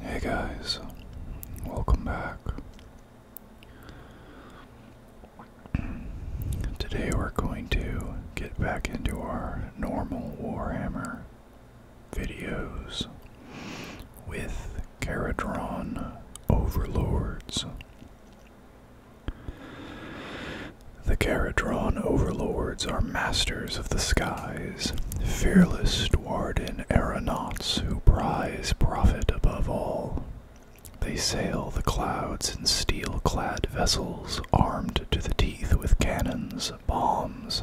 Hey guys, welcome back. Today we're going to get back into our normal Warhammer videos with Caradron Overlords. The Caradron overlords are masters of the skies, fearless dwarden aeronauts who prize profit above all. They sail the clouds in steel clad vessels, armed to the teeth with cannons, bombs,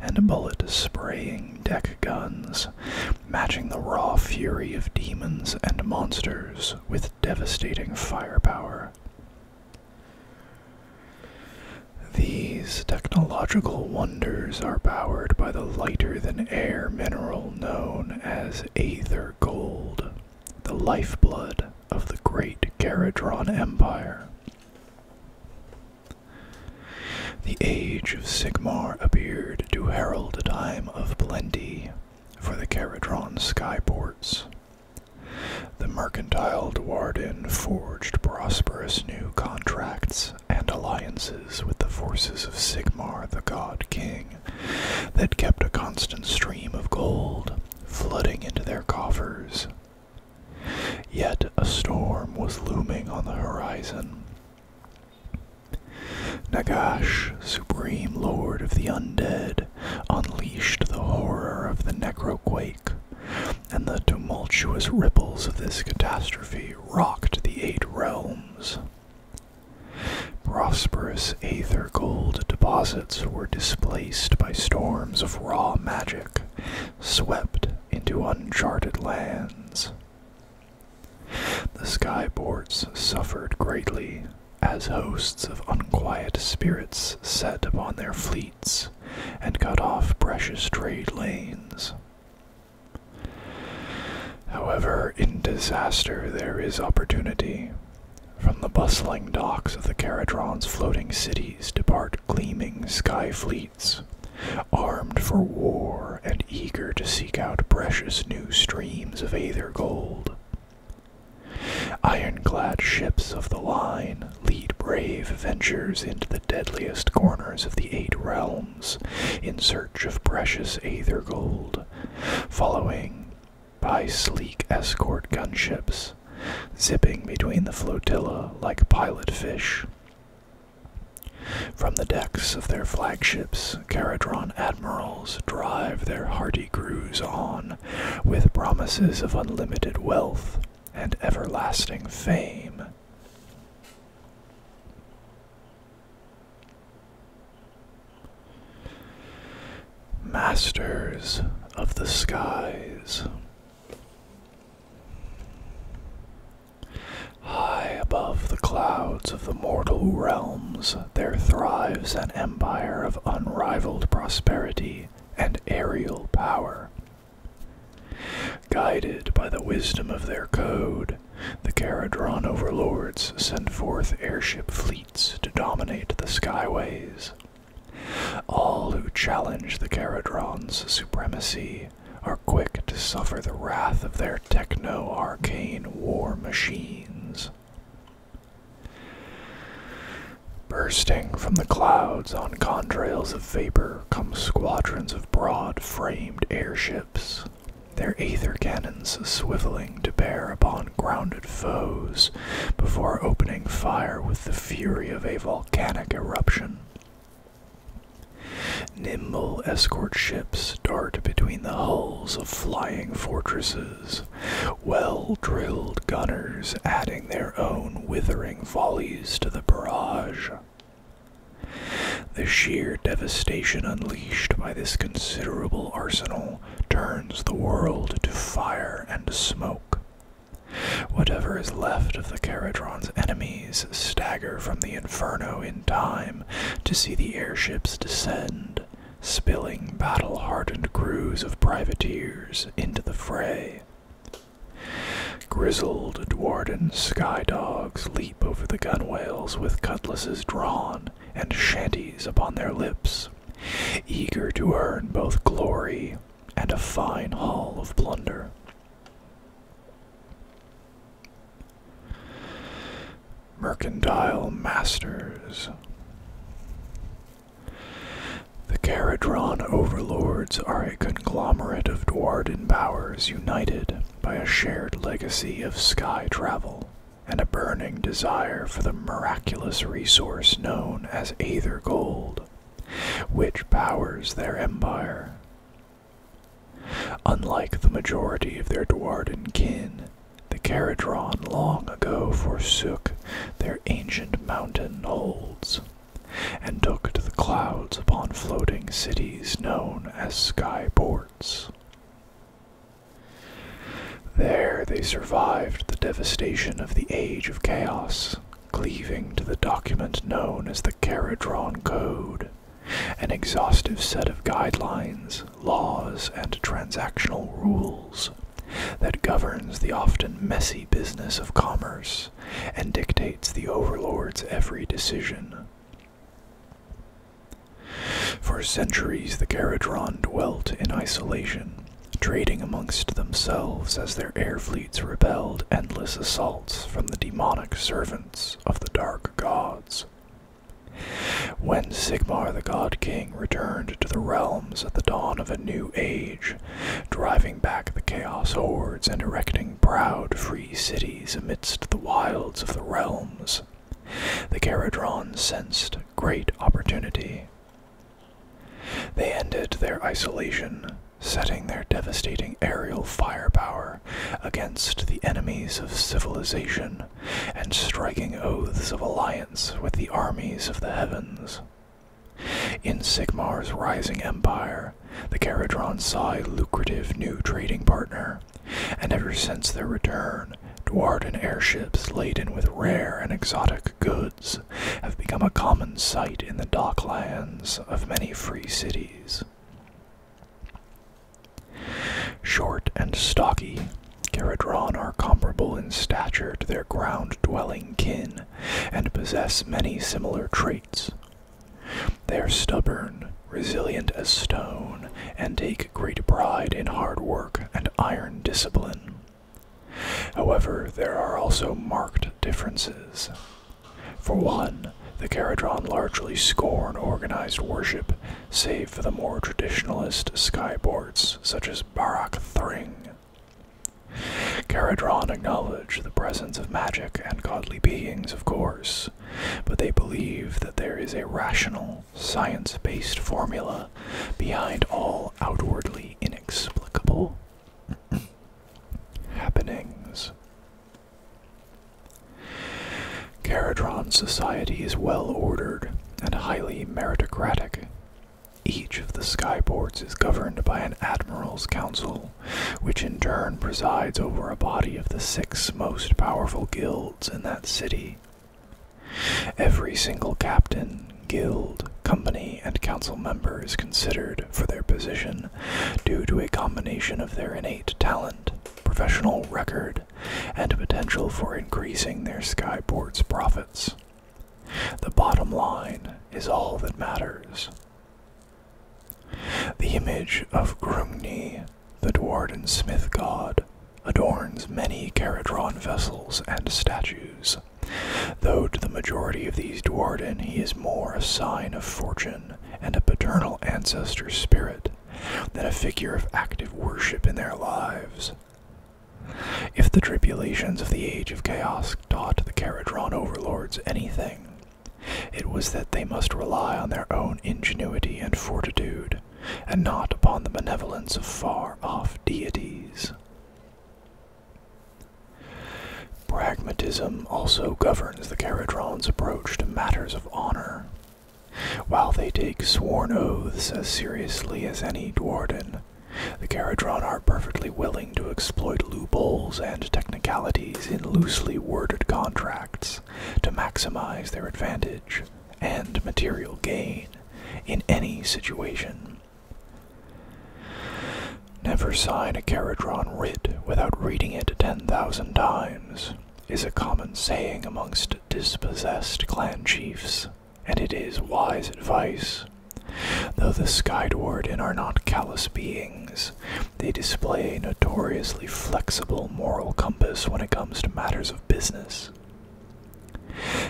and bullet spraying deck guns, matching the raw fury of demons and monsters with devastating firepower. These technological wonders are powered by the lighter than air mineral known as aether gold, the lifeblood of the great Garadron Empire. The Age of Sigmar appeared to herald a time of plenty for the Caradron skyports. The mercantile Dwarden forged prosperous new contracts and alliances with the forces of Sigmar the God King that kept a constant stream of gold flooding into their coffers. Yet a storm was looming on the horizon. Nagash, supreme lord of the undead, unleashed the horror of the necroquake and the tumultuous ripples of this catastrophe rocked the eight realms. Prosperous aether gold deposits were displaced by storms of raw magic, swept into uncharted lands. The sky boards suffered greatly as hosts of unquiet spirits set upon their fleet and cut off precious trade lanes. However, in disaster there is opportunity. From the bustling docks of the Caradron's floating cities depart gleaming sky fleets, armed for war and eager to seek out precious new streams of aether gold. Ironclad ships of the line lead brave ventures into the deadliest corners of the eight realms in search of precious aether gold, following by sleek escort gunships, zipping between the flotilla like pilot fish. From the decks of their flagships, Caradron admirals drive their hardy crews on, with promises of unlimited wealth and everlasting fame. Masters of the skies. High above the clouds of the mortal realms, there thrives an empire of unrivaled prosperity, and aerial power. Guided by the wisdom of their code, the Caradron overlords send forth airship fleets to dominate the skyways. All who challenge the Caradron's supremacy are quick to suffer the wrath of their techno arcane war machines. Bursting from the clouds on contrails of vapor come squadrons of broad framed airships, their aether cannons swiveling to bear upon grounded foes before opening fire with the fury of a volcanic eruption. Nimble escort ships dart between the hulls of flying fortresses, well drilled gunners adding their own withering volleys to the barrage. The sheer devastation unleashed by this considerable arsenal turns the world to fire and smoke. Whatever is left of the Caradron's enemies stagger from the inferno in time to see the airships descend spilling battle hardened crews of privateers into the fray. Grizzled Dwarden sky dogs leap over the gunwales with cutlasses drawn and shanties upon their lips, eager to earn both glory and a fine haul of plunder. Mercantile Masters the Caradron overlords are a conglomerate of Dwarden powers united by a shared legacy of sky travel and a burning desire for the miraculous resource known as Aether Gold, which powers their empire. Unlike the majority of their Dwarden kin, the Caradron long ago forsook their ancient mountain holds, and took to the clouds upon floating cities known as sky ports. There they survived the devastation of the Age of Chaos, cleaving to the document known as the Caradron Code, an exhaustive set of guidelines, laws, and transactional rules that governs the often messy business of commerce and dictates the overlord's every decision. For centuries, the Caradron dwelt in isolation, trading amongst themselves as their air fleets repelled endless assaults from the demonic servants of the dark gods. When Sigmar the God King returned to the realms at the dawn of a new age, driving back the chaos hordes and erecting proud, free cities amidst the wilds of the realms. The Caradron sensed great opportunity. They ended their isolation, setting their devastating aerial firepower against the enemies of civilization and striking oaths of alliance with the armies of the heavens. In Sigmar's rising empire, the Caradron saw a lucrative new trading partner, and ever since their return, Dwarden airships laden with rare and exotic goods have become a common sight in the docklands of many free cities. Short and stocky, Caradron are comparable in stature to their ground-dwelling kin and possess many similar traits. They are stubborn, resilient as stone, and take great pride in hard work and iron discipline. However, there are also marked differences. For one, the Caradron largely scorn organized worship, save for the more traditionalist skyboard such as Barak Thring. Caradron acknowledge the presence of magic and godly beings, of course, but they believe that there is a rational, science based formula behind all outwardly inexplicable happenings. Caradron society is well ordered, and highly meritocratic. Each of the sky is governed by an admiral's council, which in turn presides over a body of the six most powerful guilds in that city. Every single captain, guild, company, and council member is considered for their position due to a combination of their innate talent, professional record, and potential for increasing their skyport's profits. The bottom line is all that matters. The image of Grumni, the Dwarden smith god, adorns many Caradron vessels and statues, though to the majority of these Dwarden he is more a sign of fortune and a paternal ancestor spirit than a figure of active worship in their lives. If the tribulations of the age of chaos taught the Caradron overlords anything, it was that they must rely on their own ingenuity and fortitude, and not upon the benevolence of far off deities. Pragmatism also governs the Caradron's approach to matters of honor. While they take sworn oaths as seriously as any Dwarden, the Caradron are perfectly willing to exploit loopholes and technicalities in loosely worded contracts to maximize their advantage and material gain in any situation. Never sign a Caradron writ without reading it 10,000 times is a common saying amongst dispossessed clan chiefs, and it is wise advice. Though the Sky are not callous beings, they display a notoriously flexible moral compass when it comes to matters of business.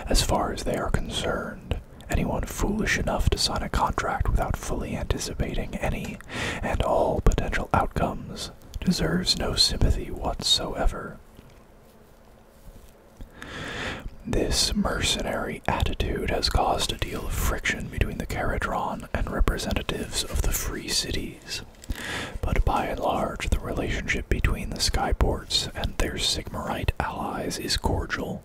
As far as they are concerned, anyone foolish enough to sign a contract without fully anticipating any and all potential outcomes deserves no sympathy whatsoever. This mercenary attitude has caused a deal of friction between the Caradron and representatives of the Free Cities, but by and large, the relationship between the Skyports and their Sigmarite allies is cordial.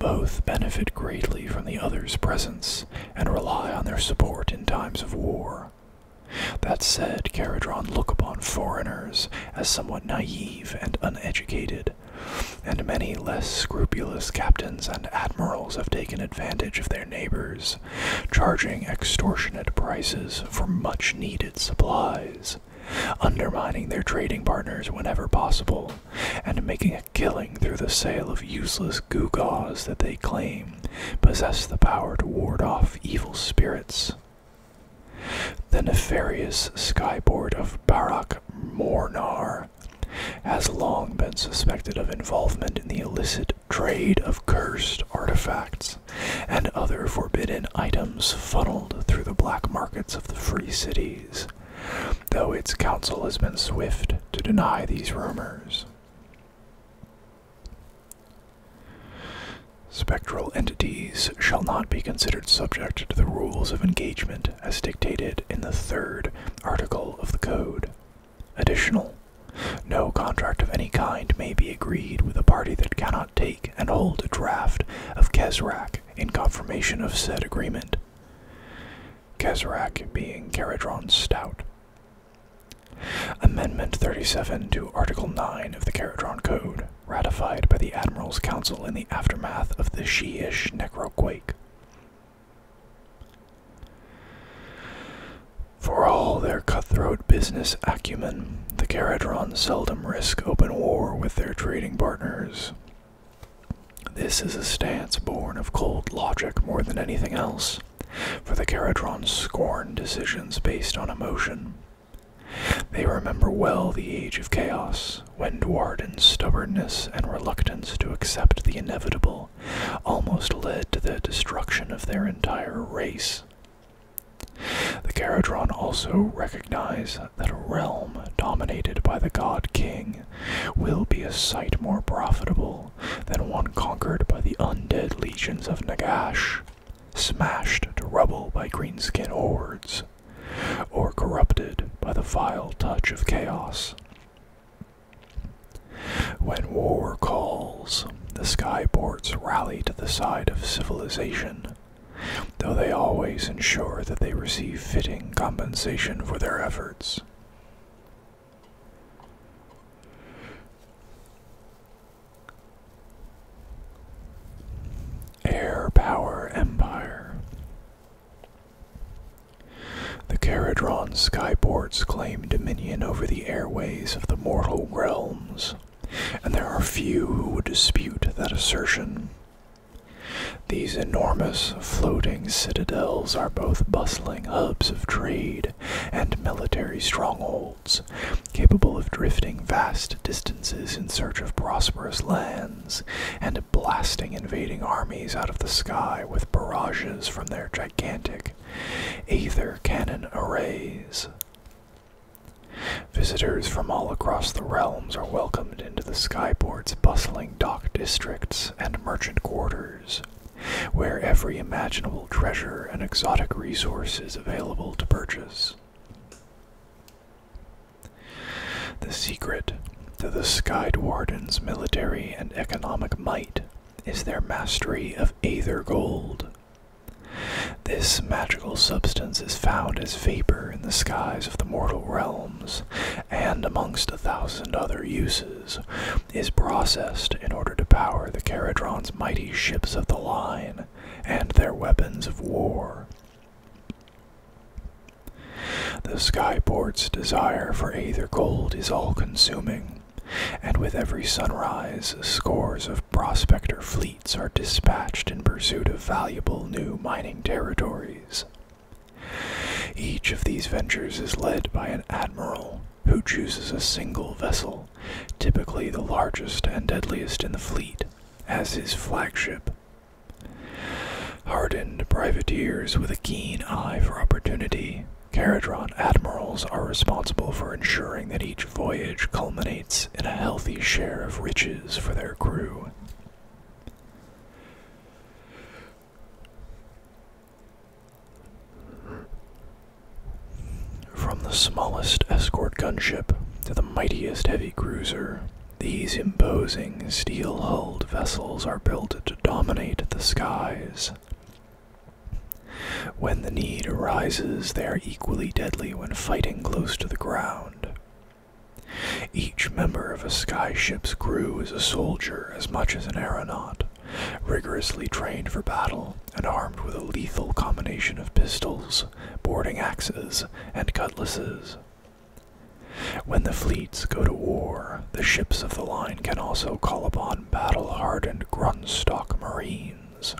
Both benefit greatly from the other's presence and rely on their support in times of war. That said, Caradron look upon foreigners as somewhat naive and uneducated, and many less scrupulous captains and admirals have taken advantage of their neighbors, charging extortionate prices for much needed supplies, undermining their trading partners whenever possible, and making a killing through the sale of useless gewgaws that they claim possess the power to ward off evil spirits. The nefarious skyboard of Barak Mornar has long been suspected of involvement in the illicit trade of cursed artifacts and other forbidden items funneled through the black markets of the free cities, though its council has been swift to deny these rumors. Spectral entities shall not be considered subject to the rules of engagement as dictated in the third article of the Code. Additional, no contract of any kind may be agreed with a party that cannot take and hold a draft of Kesrak in confirmation of said agreement. Kesrak being Caradron Stout, Amendment 37 to Article 9 of the Caradron Code, ratified by the Admiral's Council in the aftermath of the Shiish Necroquake. For all their cutthroat business acumen, the Caradron seldom risk open war with their trading partners. This is a stance born of cold logic more than anything else, for the Caradrons scorn decisions based on emotion. They remember well the Age of Chaos, when Dwarden's stubbornness and reluctance to accept the inevitable almost led to the destruction of their entire race. The Caradron also recognize that a realm dominated by the God King will be a sight more profitable than one conquered by the undead legions of Nagash, smashed to rubble by greenskin hordes, or corrupted by the vile touch of chaos. When war calls, the skyports rally to the side of civilization, though they always ensure that they receive fitting compensation for their efforts. Air Power Empire. The Caradron skyports claim dominion over the airways of the mortal realms, and there are few who would dispute that assertion. These enormous floating citadels are both bustling hubs of trade and military strongholds, capable of drifting vast distances in search of prosperous lands and blasting invading armies out of the sky with barrages from their gigantic aether cannon arrays. Visitors from all across the realms are welcomed into the skyboard's bustling dock districts and merchant quarters, where every imaginable treasure and exotic resource is available to purchase. The secret to the Sky Warden's military and economic might is their mastery of aether gold. This magical substance is found as vapor in the skies of the mortal realms and amongst a thousand other uses is processed in order to power the Caradron's mighty ships of the line and their weapons of war. The skyport's desire for aether gold is all-consuming, and with every sunrise, scores of prospector fleets are dispatched in pursuit of valuable new mining territories. Each of these ventures is led by an admiral who chooses a single vessel, typically the largest and deadliest in the fleet, as his flagship. Hardened privateers with a keen eye for opportunity, Caradron admirals are responsible for ensuring that each voyage culminates in a healthy share of riches for their crew. From the smallest escort gunship to the mightiest heavy cruiser, these imposing steel hulled vessels are built to dominate the skies. When the need arises, they are equally deadly when fighting close to the ground. Each member of a sky ship's crew is a soldier as much as an aeronaut rigorously trained for battle and armed with a lethal combination of pistols, boarding axes, and cutlasses. When the fleets go to war, the ships of the line can also call upon battle-hardened Grunstock Marines,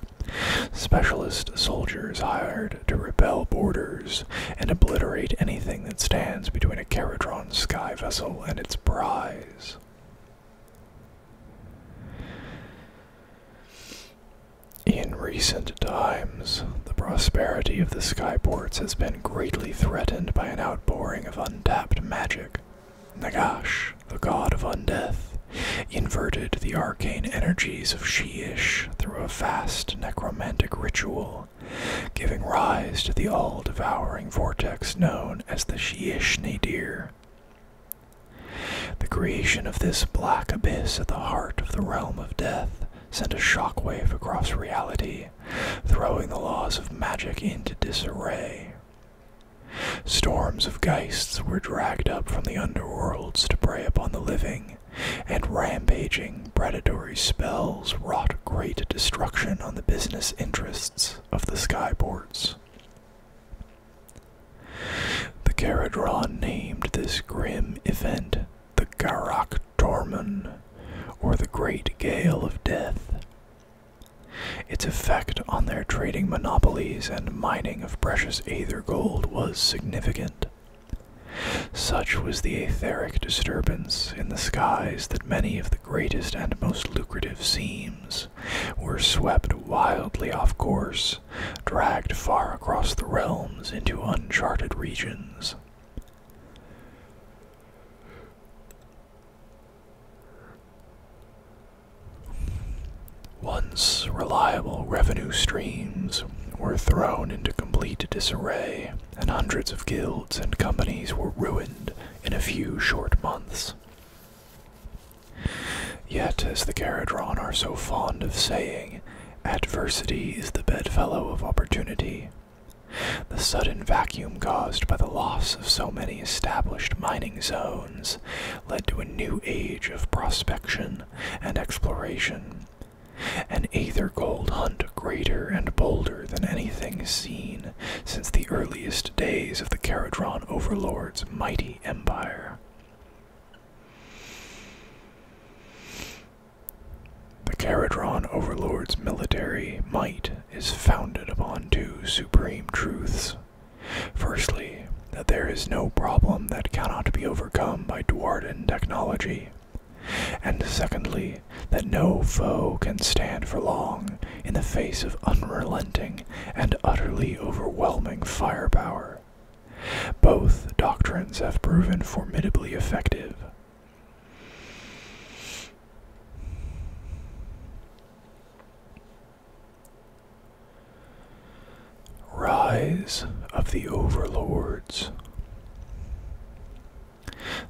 specialist soldiers hired to rebel borders and obliterate anything that stands between a Caradron sky vessel and its prize. In recent times, the prosperity of the skyports has been greatly threatened by an outpouring of untapped magic. Nagash, the god of undeath, inverted the arcane energies of She-ish through a vast necromantic ritual giving rise to the all devouring vortex known as the Sheesh Nadir. The creation of this black abyss at the heart of the realm of death sent a shockwave across reality, throwing the laws of magic into disarray. Storms of geists were dragged up from the underworlds to prey upon the living, and rampaging predatory spells wrought great destruction on the business interests of the skyports. The Caradron named this grim event the Garak Tormon, or the Great Gale of Death. Its effect on their trading monopolies and mining of precious aether gold was significant. Such was the etheric disturbance in the skies that many of the greatest and most lucrative seams were swept wildly off course, dragged far across the realms into uncharted regions. Once reliable revenue streams were thrown into complete disarray, and hundreds of guilds and companies were ruined in a few short months. Yet, as the Caradron are so fond of saying, adversity is the bedfellow of opportunity. The sudden vacuum caused by the loss of so many established mining zones led to a new age of prospection and exploration, an aether gold hunt greater and bolder than anything seen since the earliest days of the Caradron overlord's mighty empire. The Caradron overlord's military might is founded upon two supreme truths. Firstly, that there is no problem that cannot be overcome by Dwarden technology and secondly, that no foe can stand for long in the face of unrelenting and utterly overwhelming firepower. Both doctrines have proven formidably effective. Rise of the Overlords.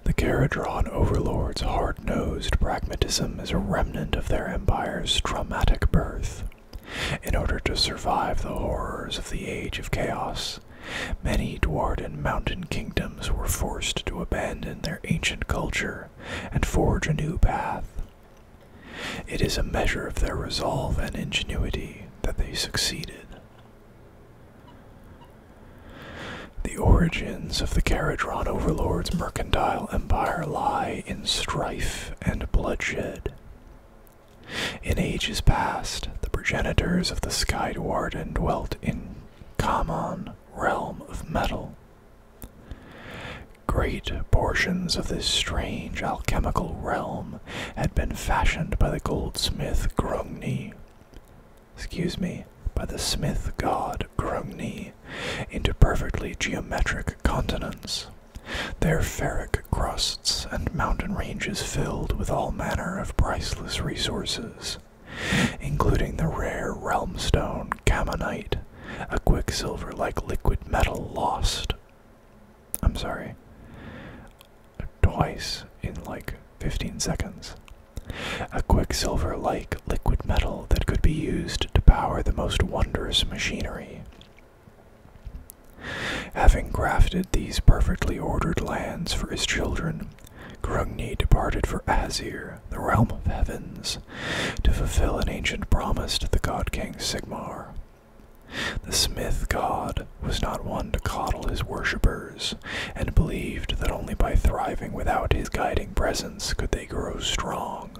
The Caradron overlords' hard nosed pragmatism is a remnant of their empire's traumatic birth. In order to survive the horrors of the Age of Chaos, many Dwarven mountain kingdoms were forced to abandon their ancient culture and forge a new path. It is a measure of their resolve and ingenuity that they succeeded. The origins of the Caradron Overlord's mercantile empire lie in strife and bloodshed. In ages past, the progenitors of the Skywarden dwelt in Kamon, realm of metal. Great portions of this strange alchemical realm had been fashioned by the goldsmith Grungni, excuse me, by the smith god Grumni into perfectly geometric continents. Their ferric crusts and mountain ranges filled with all manner of priceless resources, including the rare realmstone camonite, a quicksilver like liquid metal lost. I'm sorry twice in like 15 seconds. A quicksilver like liquid metal that could be used to power the most wondrous machinery. Having grafted these perfectly ordered lands for his children, Grungni departed for Azir, the realm of heavens, to fulfill an ancient promise to the god king Sigmar. The smith god was not one to coddle his worshippers, and believed that only by thriving without his guiding presence could they grow strong.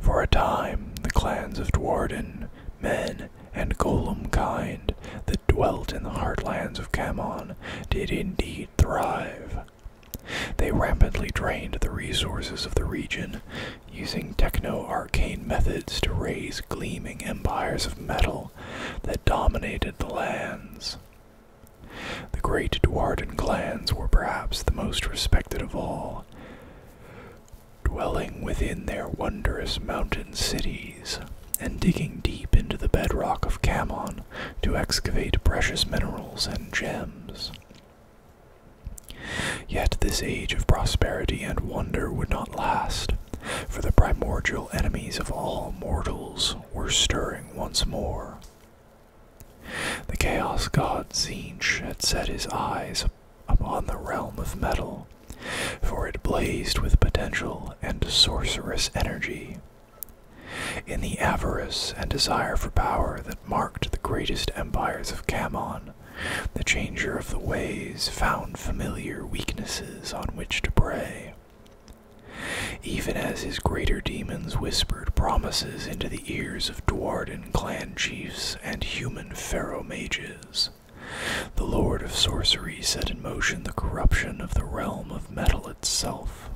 For a time, the clans of Dwarden, men, and golem kind that dwelt in the heartlands of Camon did indeed thrive. They rampantly drained the resources of the region, using techno arcane methods to raise gleaming empires of metal that dominated the lands. The great Dwarden clans were perhaps the most respected of all, dwelling within their wondrous mountain cities and digging deep into the bedrock of Camon to excavate precious minerals and gems. Yet this age of prosperity and wonder would not last, for the primordial enemies of all mortals were stirring once more. The Chaos God Zinch had set his eyes upon the realm of metal, for it blazed with potential and sorcerous energy. In the avarice and desire for power that marked the greatest empires of Camon, the Changer of the Ways found familiar weaknesses on which to prey. Even as his greater demons whispered promises into the ears of Dwarden clan chiefs and human pharaoh mages, the Lord of Sorcery set in motion the corruption of the realm of metal itself.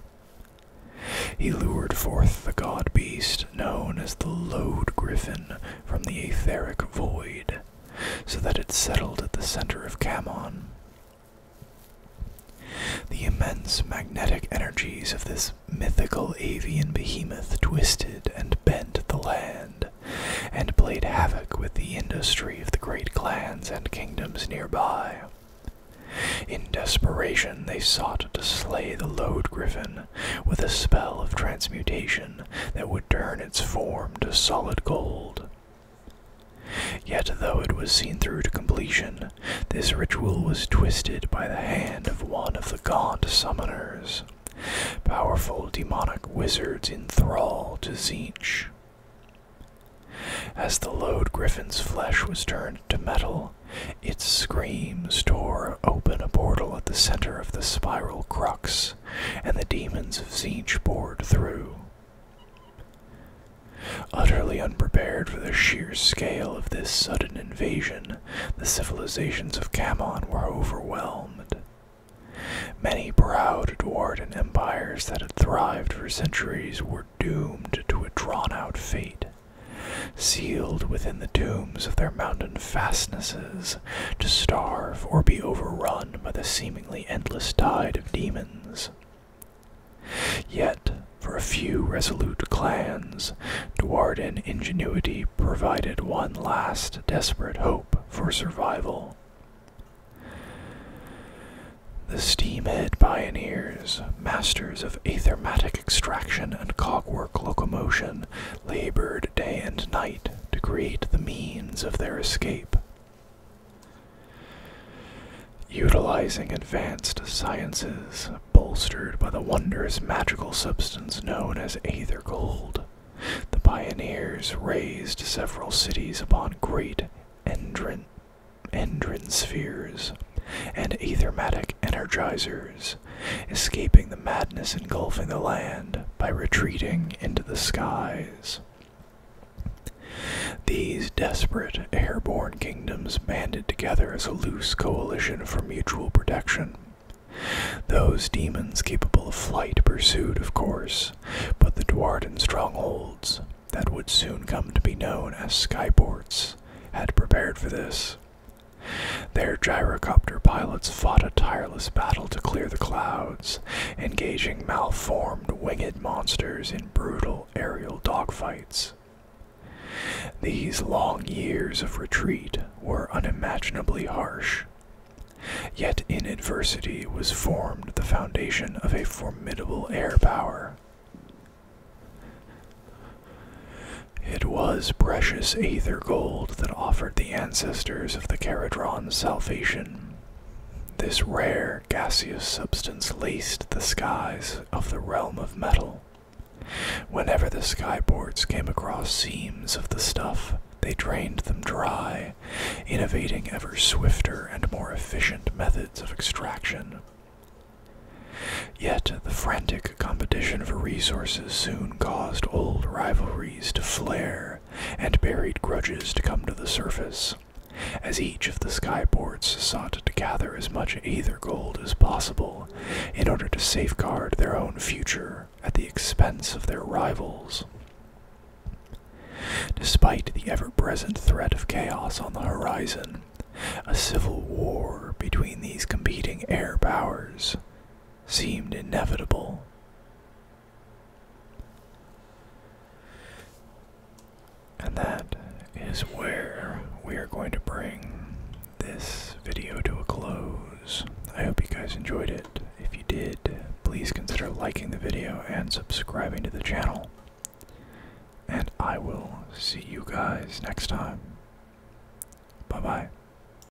He lured forth the god beast known as the Load Griffin from the etheric void, so that it settled at the center of Camon. The immense magnetic energies of this mythical avian behemoth twisted and bent the land, and played havoc with the industry of the great clans and kingdoms nearby. In desperation, they sought to slay the load Griffin with a spell of transmutation, that would turn its form to solid gold. Yet, though it was seen through to completion, this ritual was twisted by the hand of one of the gaunt summoners, powerful demonic wizards enthralled to Zeech. As the load griffin's flesh was turned to metal, its screams tore open a portal at the center of the spiral crux and the demons of Zinch poured through. Utterly unprepared for the sheer scale of this sudden invasion, the civilizations of Kamon were overwhelmed. Many proud dwarven empires that had thrived for centuries were doomed to a drawn out fate. Sealed within the tombs of their mountain fastnesses to starve or be overrun by the seemingly endless tide of demons. Yet, for a few resolute clans, Dwarden ingenuity provided one last desperate hope for survival. The steamhead pioneers, masters of athermatic extraction and cogwork locomotion, labored day and night to create the means of their escape. Utilizing advanced sciences bolstered by the wondrous magical substance known as Aether Gold, the pioneers raised several cities upon great endrin, endrin spheres and aethermatic energizers, escaping the madness engulfing the land by retreating into the skies. These desperate airborne kingdoms banded together as a loose coalition for mutual protection. Those demons capable of flight pursued, of course, but the Dwarden strongholds that would soon come to be known as skyports had prepared for this. Their gyrocopter pilots fought a tireless battle to clear the clouds engaging malformed winged monsters in brutal aerial dogfights. These long years of retreat were unimaginably harsh. Yet in adversity was formed the foundation of a formidable air power. It was precious aether gold that offered the ancestors of the Caradron salvation. This rare gaseous substance laced the skies of the realm of metal. Whenever the skyports came across seams of the stuff, they drained them dry, innovating ever swifter and more efficient methods of extraction. Yet the frantic competition for resources soon caused old rivalries to flare and buried grudges to come to the surface. As each of the skyboards sought to gather as much ether Gold as possible in order to safeguard their own future at the expense of their rivals. Despite the ever present threat of chaos on the horizon, a civil war between these competing air powers seemed inevitable. And that is where we are going to bring this video to a close. I hope you guys enjoyed it. If you did, please consider liking the video and subscribing to the channel. And I will see you guys next time. Bye bye.